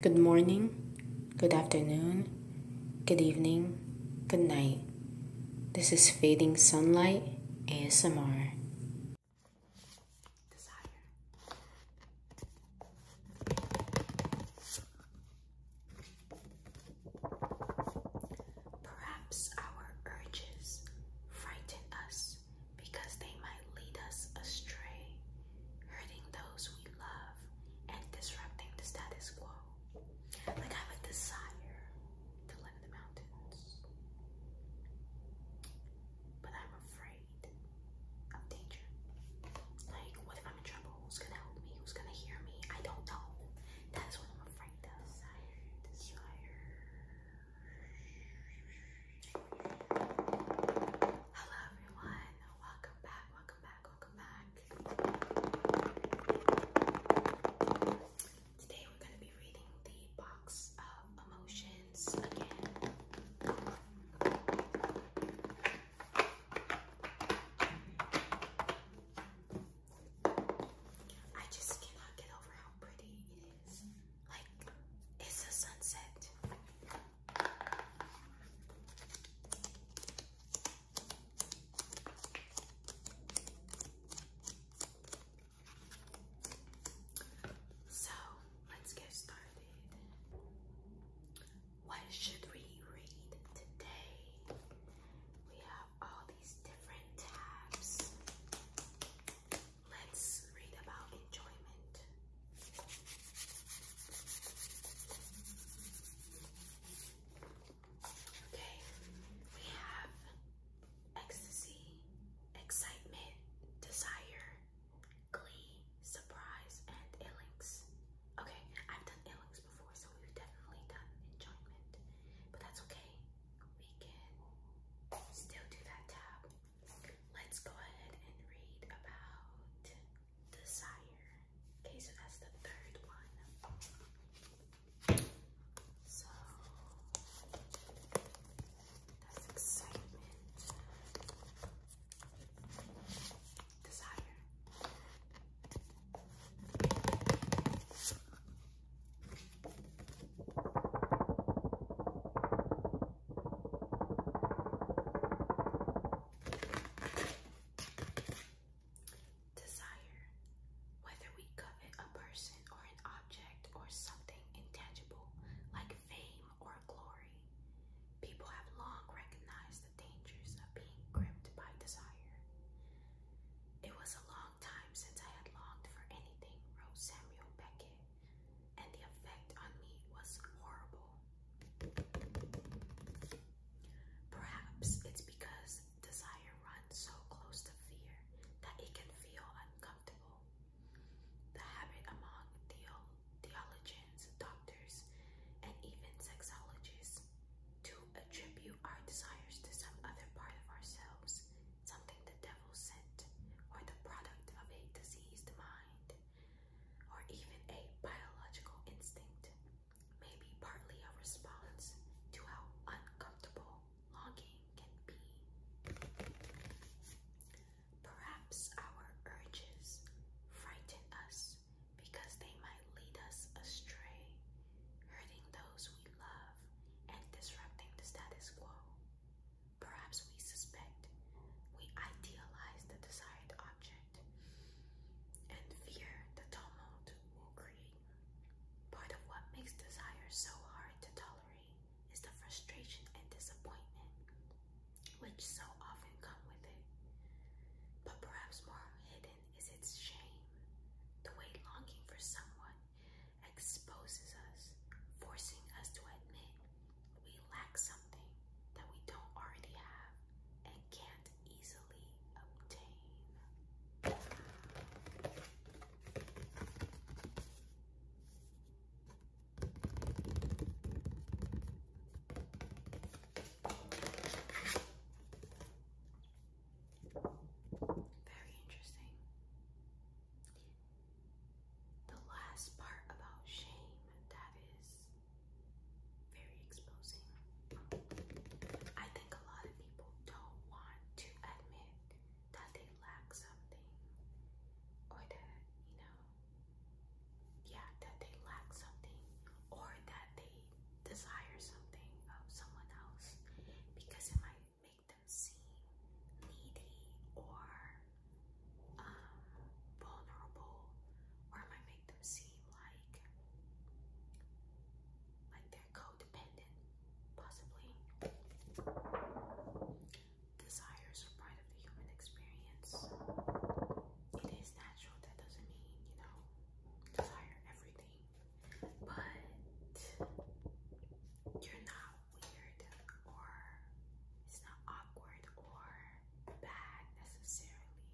Good morning, good afternoon, good evening, good night. This is Fading Sunlight ASMR. Perhaps our urges frighten us because they might lead us astray hurting those we love, and disrupting the status quo. Like I have desire to live in the mountains, but I'm afraid of danger. Like, what if I'm in trouble? Who's gonna help me? Who's gonna hear me? I don't know. That's what I'm afraid of. Desire, desire. Hello everyone, welcome back, welcome back, welcome back. Today we're going to be reading the box of emotions again. I just cannot get over how pretty it is. Like, it's a sunset. So let's get started. What should we read today? We have all these different tabs. Let's read about enjoyment. Okay, we have ecstasy, excitement, desire, glee, surprise, and illings. Okay, I've done illings before, so we've definitely done enjoyment, but that's okay. We can still do that tab let's go ahead and read about desire. Okay, so that's the third one. So that's excitement, desire. Desire. Whether we covet a person or an object or something intangible like fame or glory, people have long recognized the dangers of being gripped by desire. It was a long time since I had longed for anything, wrote Samuel Beckett and the effect on me was horrible. Perhaps it's because desire runs so close to fear that it can feel uncomfortable. The habit among theologians, doctors, and even sexologists to attribute our desires to some other part of ourselves something the devil sent, or the product of a diseased mind, or even a biological instinct, may be partly a response to how uncomfortable longing can be. Perhaps our urges frighten us because they might lead us astray, hurting those we love and disrupting the status quo. Perhaps we suspect, we idealize the desired object, and fear the tumult will create. Part of what makes desire so hard to tolerate is the frustration and disappointment which so often come with it. But perhaps more hidden is its shame, the way longing for someone exposes us, forcing us to admit we lack something that we don't already have and can't easily obtain. Very interesting. The last part about shame, that is very exposing. I think a lot of people don't want to admit that they lack something or that, you know, yeah, that they lack something or that they desire something of someone else because it might make them seem needy or um, vulnerable, or it might make them seem like like they're codependent, possibly. Desires are part of the human experience. It is natural. That doesn't mean you know desire everything but you're not weird or it's not awkward or bad necessarily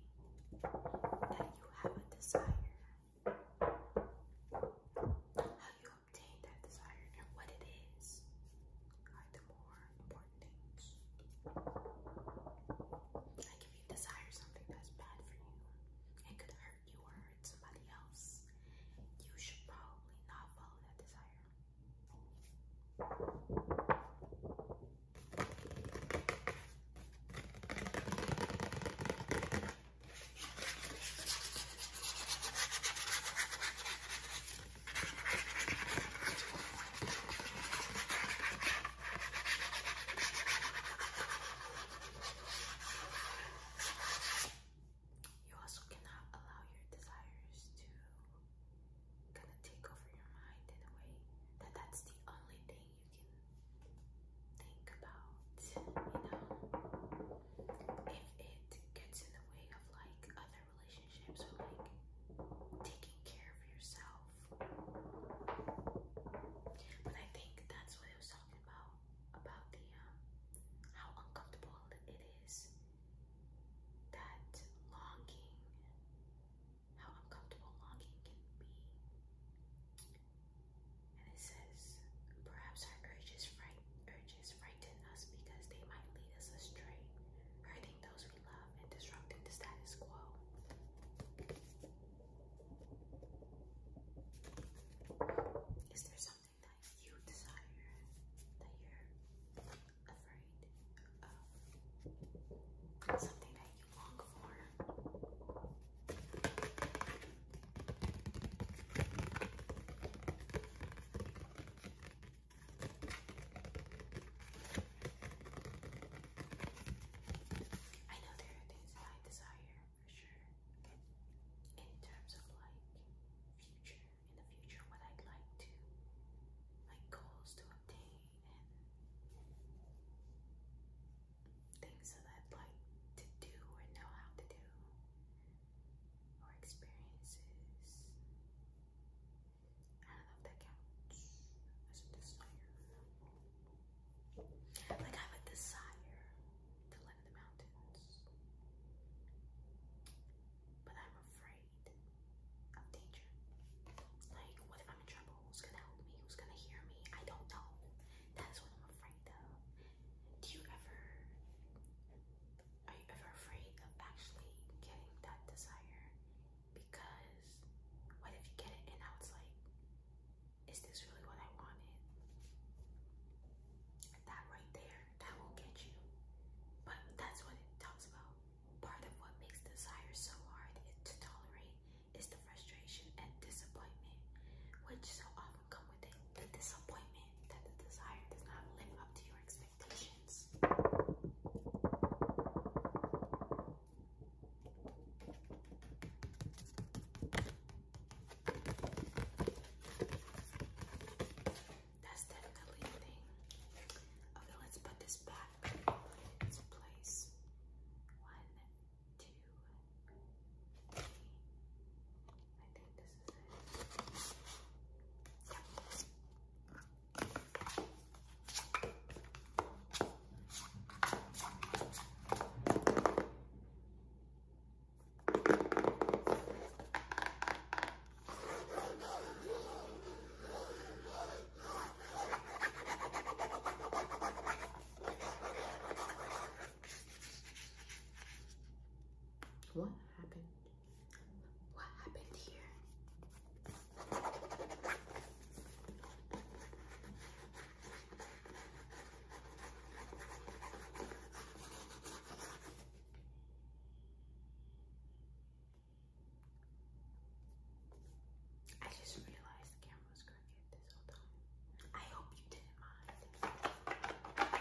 that you have a desire. How you obtain that desire and what it is are the more important things. Like if you desire something that's bad for you, it could hurt you hurt somebody else. You should probably not follow that desire. You also cannot allow your desires to kind of take over your mind in a way that that's the only thing you can think about, you know? If it gets in the way of like other relationships or like taking care of yourself but I think that's what it was talking about about the um, how uncomfortable it is. That longing, how uncomfortable longing can be. And it says, perhaps our urges fright urges frighten us because they might lead us astray, hurting those we love and disrupting the status quo. Is there something that you desire that you're afraid of? Something that you long for? I know there are things that I desire for sure. In terms of like future, in the future, what I'd like to, like goals to obtain and things that I'd like to do or know how to do or experiences. I don't know if that counts as a desire. Like I have a desire to live in the mountains. But I'm afraid of danger. Like, what if I'm in trouble? Who's gonna help me? Who's gonna hear me? I don't know. That's what I'm afraid of. Do you ever, are you ever afraid of actually getting that desire because what if you get it and I was like, is this really what I wanted? That right there, that will get you. But that's what it talks about. Part of what makes desire so hard to tolerate is the frustration and disappointment, which so often come with it. The disappointment that the desire does not live up to your expectations. That's definitely the thing. Okay, let's put this back in its place. One, two, three. I think this is it. What happened? What happened here? I just realized the camera crooked this whole time. I hope you didn't mind.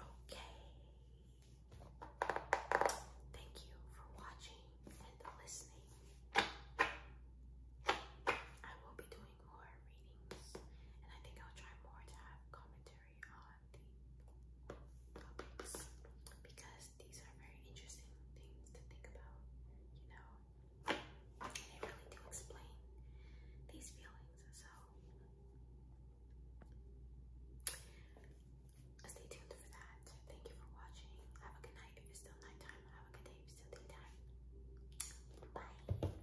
Okay. Thank you for watching and listening. I will be doing more readings, and I think I'll try more to have commentary on the topics because these are very interesting things to think about, you know, they really do explain these feelings. So stay tuned for that. Thank you for watching. Have a good night if it's still nighttime. Have a good day if it's still daytime. Bye.